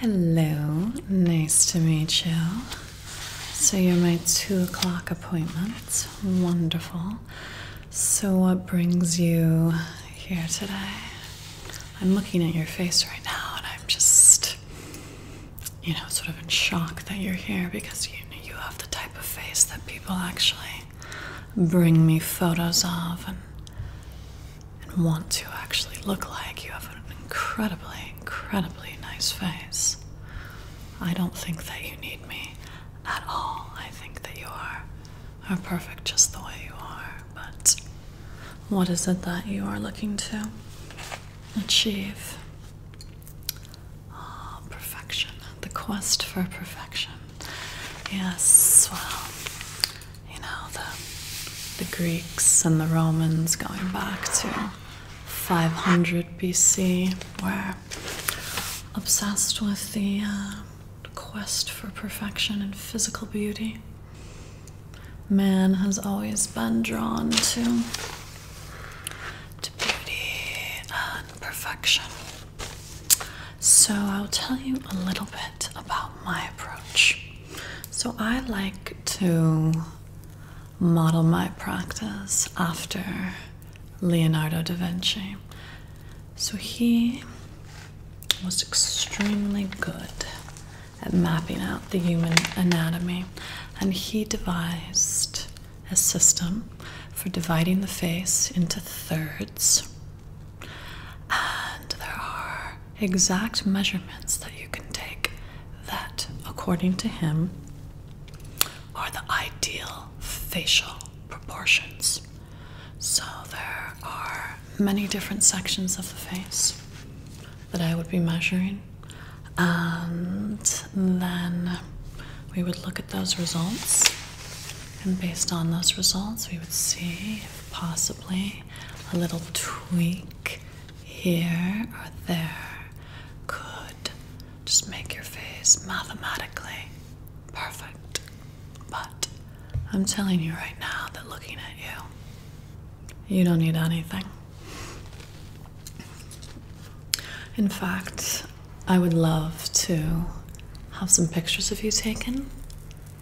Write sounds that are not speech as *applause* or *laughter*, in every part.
Hello, nice to meet you. So, you're my two o'clock appointment. Wonderful. So, what brings you here today? I'm looking at your face right now and I'm just, you know, sort of in shock that you're here because you, you have the type of face that people actually bring me photos of and and want to actually look like. You have an incredibly, incredibly nice face. I don't think that you need me at all. I think that you are, are perfect just the way you are. But what is it that you are looking to achieve? Oh, perfection. The quest for perfection. Yes, well, you know, the, the Greeks and the Romans going back to 500 BC were obsessed with the uh, quest for perfection and physical beauty. Man has always been drawn to, to beauty and perfection. So I'll tell you a little bit about my approach. So I like to model my practice after Leonardo da Vinci. So he was extremely good at mapping out the human anatomy, and he devised a system for dividing the face into thirds and there are exact measurements that you can take that, according to him, are the ideal facial proportions. So there are many different sections of the face that I would be measuring, and then we would look at those results. And based on those results, we would see if possibly a little tweak here or there could just make your face mathematically perfect. But I'm telling you right now that looking at you, you don't need anything. In fact, I would love to have some pictures of you taken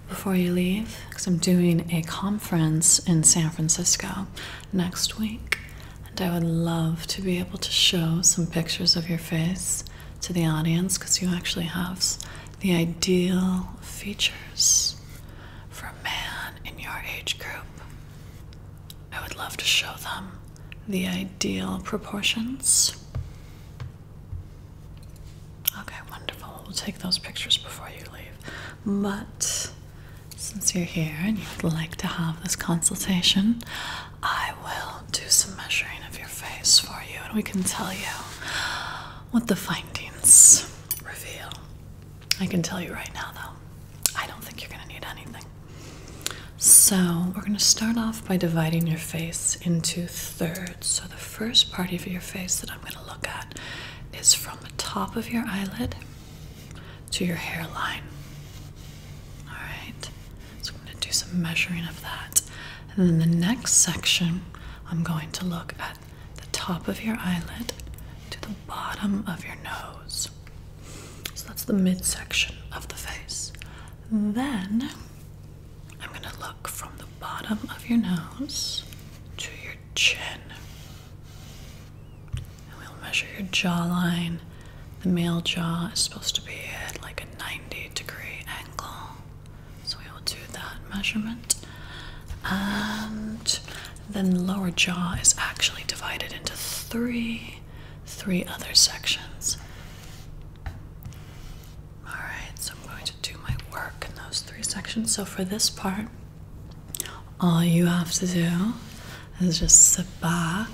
before you leave because I'm doing a conference in San Francisco next week, and I would love to be able to show some pictures of your face to the audience because you actually have the ideal features for a man in your age group. I would love to show them the ideal proportions. Okay, wonderful. We'll take those pictures before you leave. But since you're here and you'd like to have this consultation, I will do some measuring of your face for you and we can tell you what the findings reveal. I can tell you right now, though, I don't think you're going to need anything. So, we're going to start off by dividing your face into thirds. So, the first part of your face that I I'm going to look at is from the top of your eyelid to your hairline. All right, so I'm going to do some measuring of that. And then the next section, I'm going to look at the top of your eyelid to the bottom of your nose. So that's the midsection of the face. Then I'm going to look from the bottom of your nose to your chin. And we'll measure your jawline. The male jaw is supposed to be at like a 90 degree angle. So we will do that measurement. And then lower jaw is actually divided into three three other sections. Alright, so I'm going to do my work in those three sections. So for this part, all you have to do is just sit back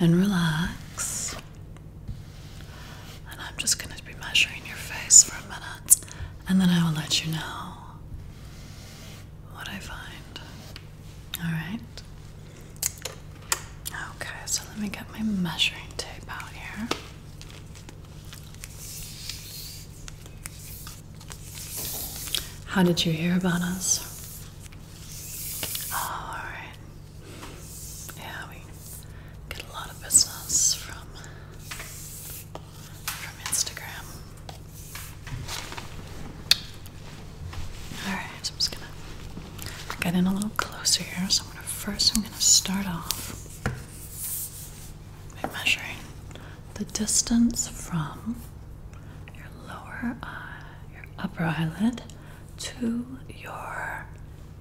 and relax. And I'm just going to be measuring your face for a minute, and then I will let you know what I find. Alright? Okay, so let me get my measuring tape out here. How did you hear about us? Oh, all right. Yeah, we get a lot of business from from Instagram. All right, I'm just gonna get in a little closer here. So I'm gonna first, I'm gonna start off measuring the distance from your lower eye, your upper eyelid, to your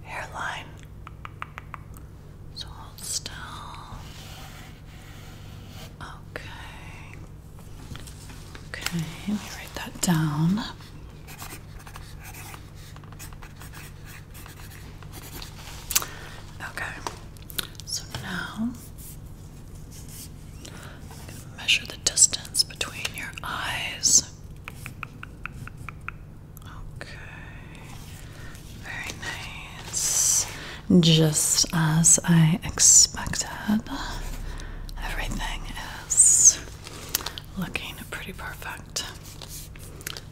hairline. So still. Okay. Okay, let me write that down. Okay, so now I'm going to measure the distance between your eyes. Okay, very nice. Just as I expected, everything is looking pretty perfect.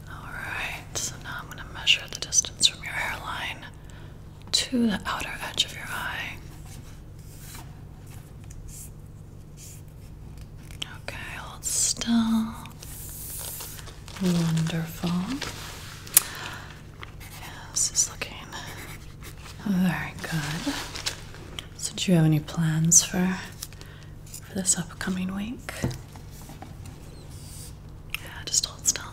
Alright, so now I'm going to measure the distance from your hairline to the outer edge of your eye. Okay, hold still. Wonderful. this is looking very good. So, do you have any plans for, for this upcoming week? Yeah, just hold still.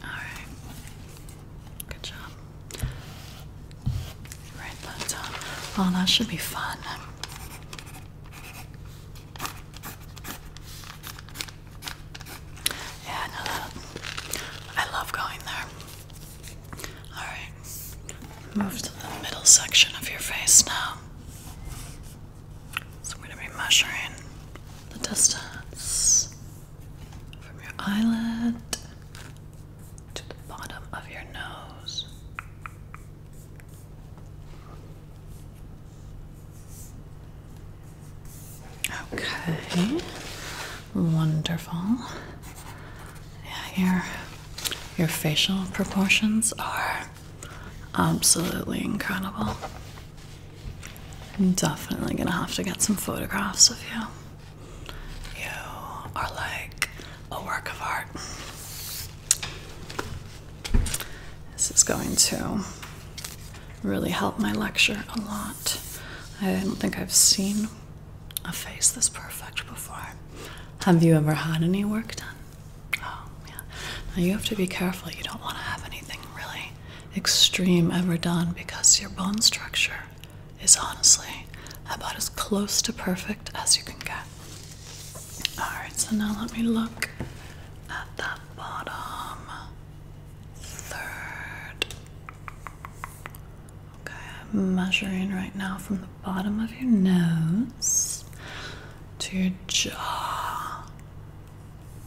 Alright. Good job. Write that down. Uh, oh, well, that should be fun. Yeah, I know I love going there. Alright, move to the middle section of your face now. So I'm going to be measuring the distance from your eyelid to the bottom of your nose. Okay. Wonderful. Yeah, your your facial proportions are absolutely incredible. I'm definitely gonna have to get some photographs of you. You are like a work of art. This is going to really help my lecture a lot. I don't think I've seen a face this perfect before. Have you ever had any work done? Oh, yeah. Now you have to be careful. You don't want to have anything really extreme ever done because your bone structure is honestly about as close to perfect as you can get. Alright, so now let me look at that bottom third. Okay, measuring right now from the bottom of your nose to your jaw.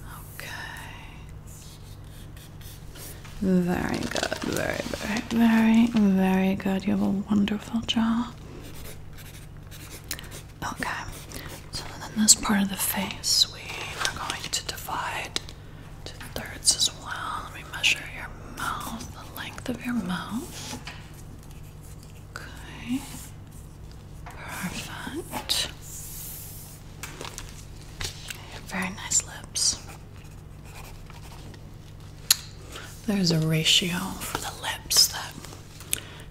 Okay. Very good, very, very, very, very good. You have a wonderful jaw. Okay, so then this part of the face, we are going to divide two thirds as well. Let me measure your mouth, the length of your mouth. Okay, perfect. Very nice lips. There's a ratio for the lips that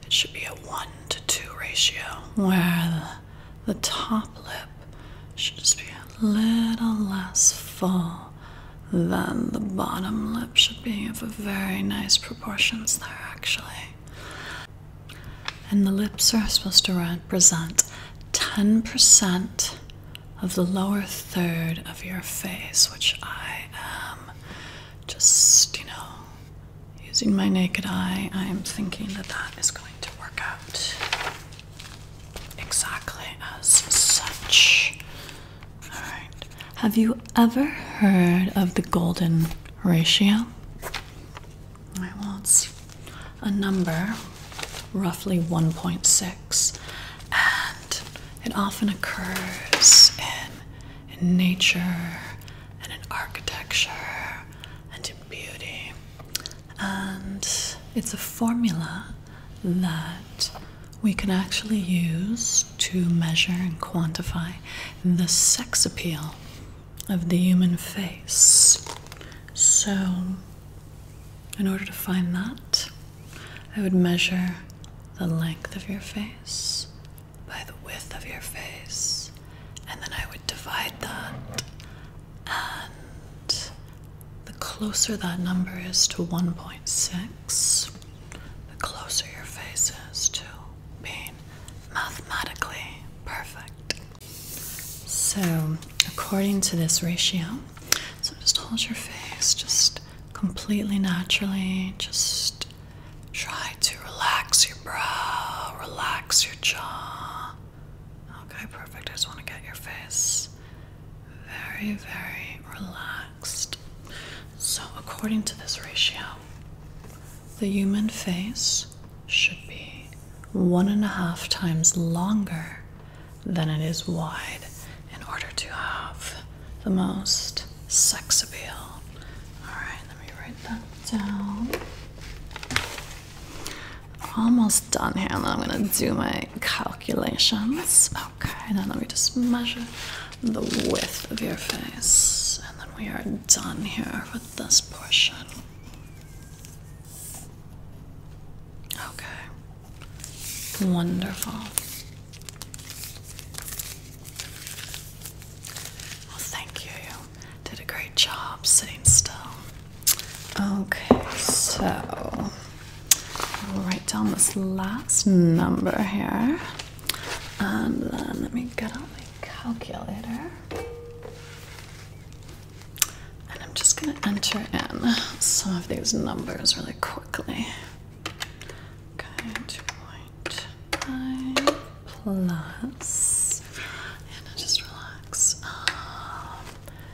it should be a 1 to 2 ratio, where the, the top lip should just be a little less full than the bottom lip should be. You have very nice proportions there, actually. And the lips are supposed to represent 10% of the lower third of your face, which I am just, you know, using my naked eye. I am thinking that that is going to work out exactly as such. Alright. Have you ever heard of the golden ratio? Alright, well, it's a number, roughly 1.6, and it often occurs in, in nature and in architecture and in beauty and it's a formula that we can actually use to measure and quantify the sex appeal of the human face. So, in order to find that, I would measure the length of your face by the width of your face, and then I would divide that and the closer that number is to 1.6, the closer your face is to being mathematically perfect. So, according to this ratio, so just hold your face just completely naturally, just try to relax your brow, relax your jaw. Okay, perfect. I just want to get your face very, very relaxed. So, according to this ratio, the human face should be one and a half times longer than it is wide in order to have the most sex appeal. Alright, let me write that down. Almost done here, and then I'm gonna do my calculations. Okay, Now let me just measure the width of your face, and then we are done here with this portion. Okay, wonderful. thank you. You did a great job sitting still. Okay, so i will write down this last number here. And then let me get out my calculator. And I'm just going to enter in some of these numbers really quickly. Okay, 2.5 plus, and just relax. Um,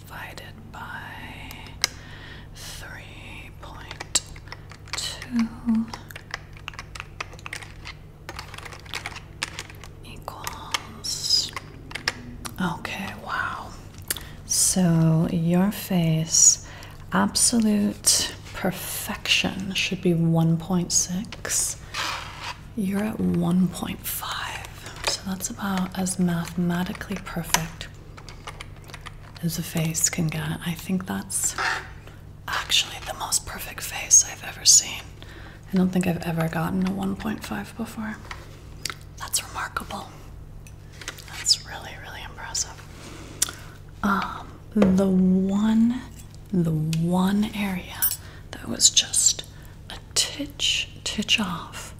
divided by 3.2 equals. Okay, wow. So your face, absolute perfection should be 1.6. You're at 1.5. So that's about as mathematically perfect as a face can get. I think that's actually the most perfect face I've ever seen. I don't think I've ever gotten a 1.5 before. That's remarkable. That's really, really impressive. Um, the one, the one area that was just a titch, titch off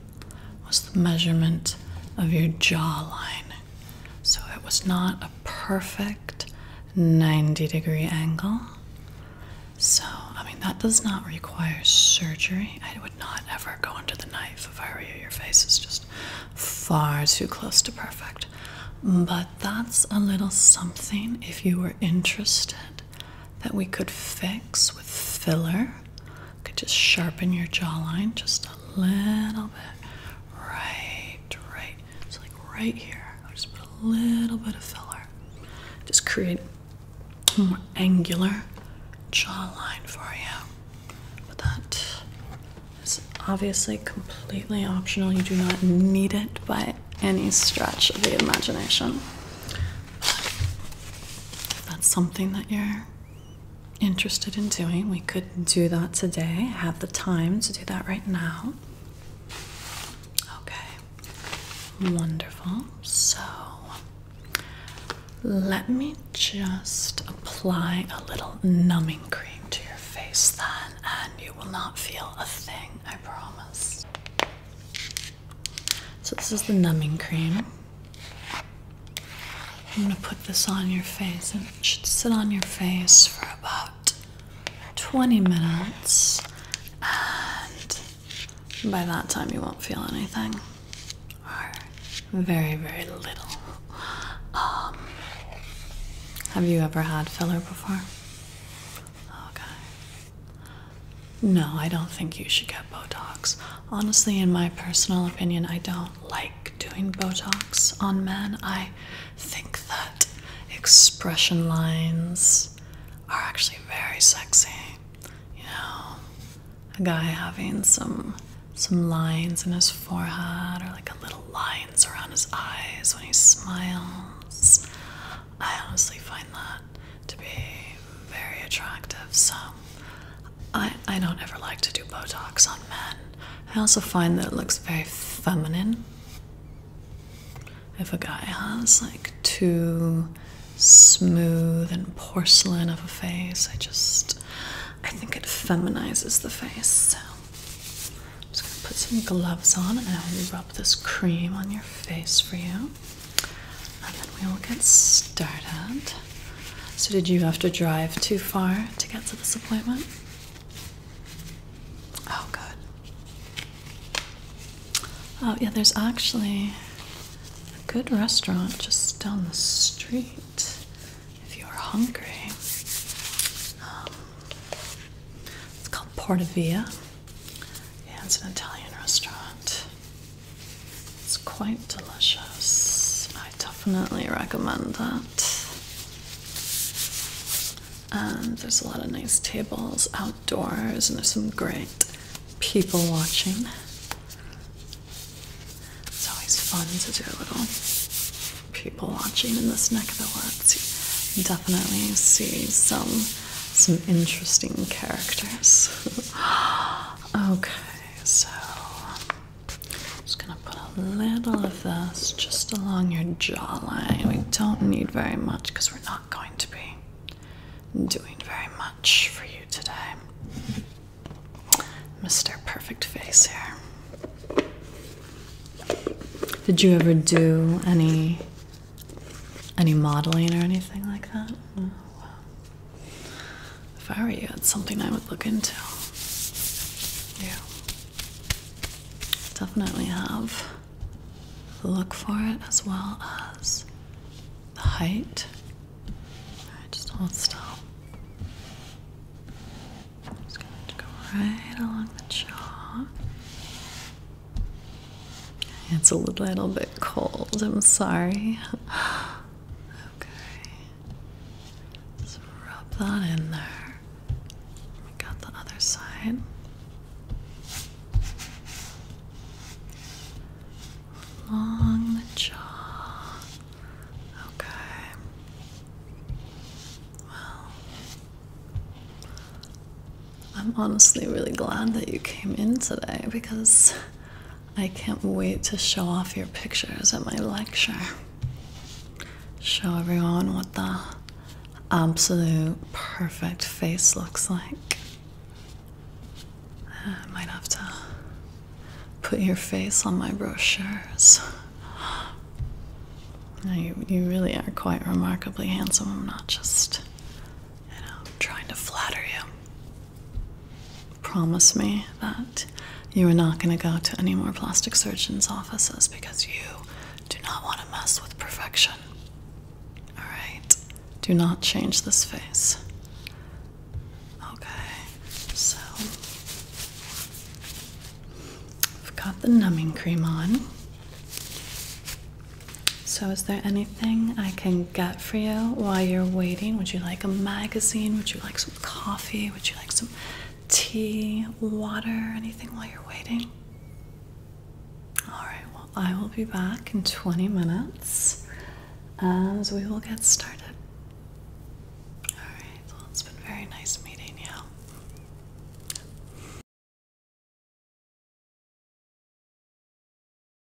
was the measurement of your jawline. So it was not a perfect 90 degree angle. So, I mean, that does not require surgery. I would not ever go under the knife if I were you. Your face is just far too close to perfect. But that's a little something if you were interested that we could fix with filler could just sharpen your jawline just a little bit. Right, right. So like right here, I'll just put a little bit of filler. Just create a more angular jawline for you. But that is obviously completely optional. You do not need it by any stretch of the imagination. But if that's something that you're interested in doing. We could do that today. have the time to do that right now. Okay, wonderful. So let me just apply a little numbing cream to your face then, and you will not feel a thing, I promise. So, this is the numbing cream. I'm going to put this on your face and it should sit on your face for about 20 minutes. And by that time, you won't feel anything or very, very little. Um, have you ever had filler before? Okay. No, I don't think you should go Botox. Honestly, in my personal opinion, I don't like doing Botox on men. I think that expression lines are actually very sexy. You know, a guy having some some lines in his forehead or like a little lines around his eyes when he smiles. I honestly find that to be very attractive. So um, I, I don't ever like to do Botox on men. I also find that it looks very feminine. If a guy has like too smooth and porcelain of a face, I just I think it feminizes the face. So I'm just gonna put some gloves on and I will rub this cream on your face for you and then we will get started. So, did you have to drive too far to get to this appointment? Oh, good. Oh, yeah, there's actually a good restaurant just down the street if you're hungry. Um, it's called Porta Via. Yeah, it's an Italian restaurant. It's quite delicious. I definitely recommend that. And there's a lot of nice tables outdoors, and there's some great people watching. It's always fun to do a little people watching in this neck of the woods. definitely see some some interesting characters. *gasps* okay so I'm just gonna put a little of this just along your jawline. We don't need very much because we're not going to be doing very much for you today. Mr. Perfect Face here. Did you ever do any any modeling or anything like that? Oh, if I were you, it's something I would look into. Yeah. Definitely have look for it as well as the height. Alright, just hold still. just going to go right along the jaw. It's a little bit cold, I'm sorry. Okay. Just rub that in there. We got the other side. Along the jaw. Okay. Well, I'm honestly really glad that you came in today because I can't wait to show off your pictures at my lecture. Show everyone what the absolute perfect face looks like. I might have to put your face on my brochures. You, you really are quite remarkably handsome. I'm not just, you know, trying to flatter you. Promise me that you are not going to go to any more plastic surgeons' offices because you do not want to mess with perfection. All right? Do not change this face. Okay, so I've got the numbing cream on. So, is there any I can get for you while you're waiting? Would you like a magazine? Would you like some coffee? Would you like some tea, water, anything while you're waiting? Alright, well, I will be back in 20 minutes and we will get started. Alright, well, it's been very nice meeting you.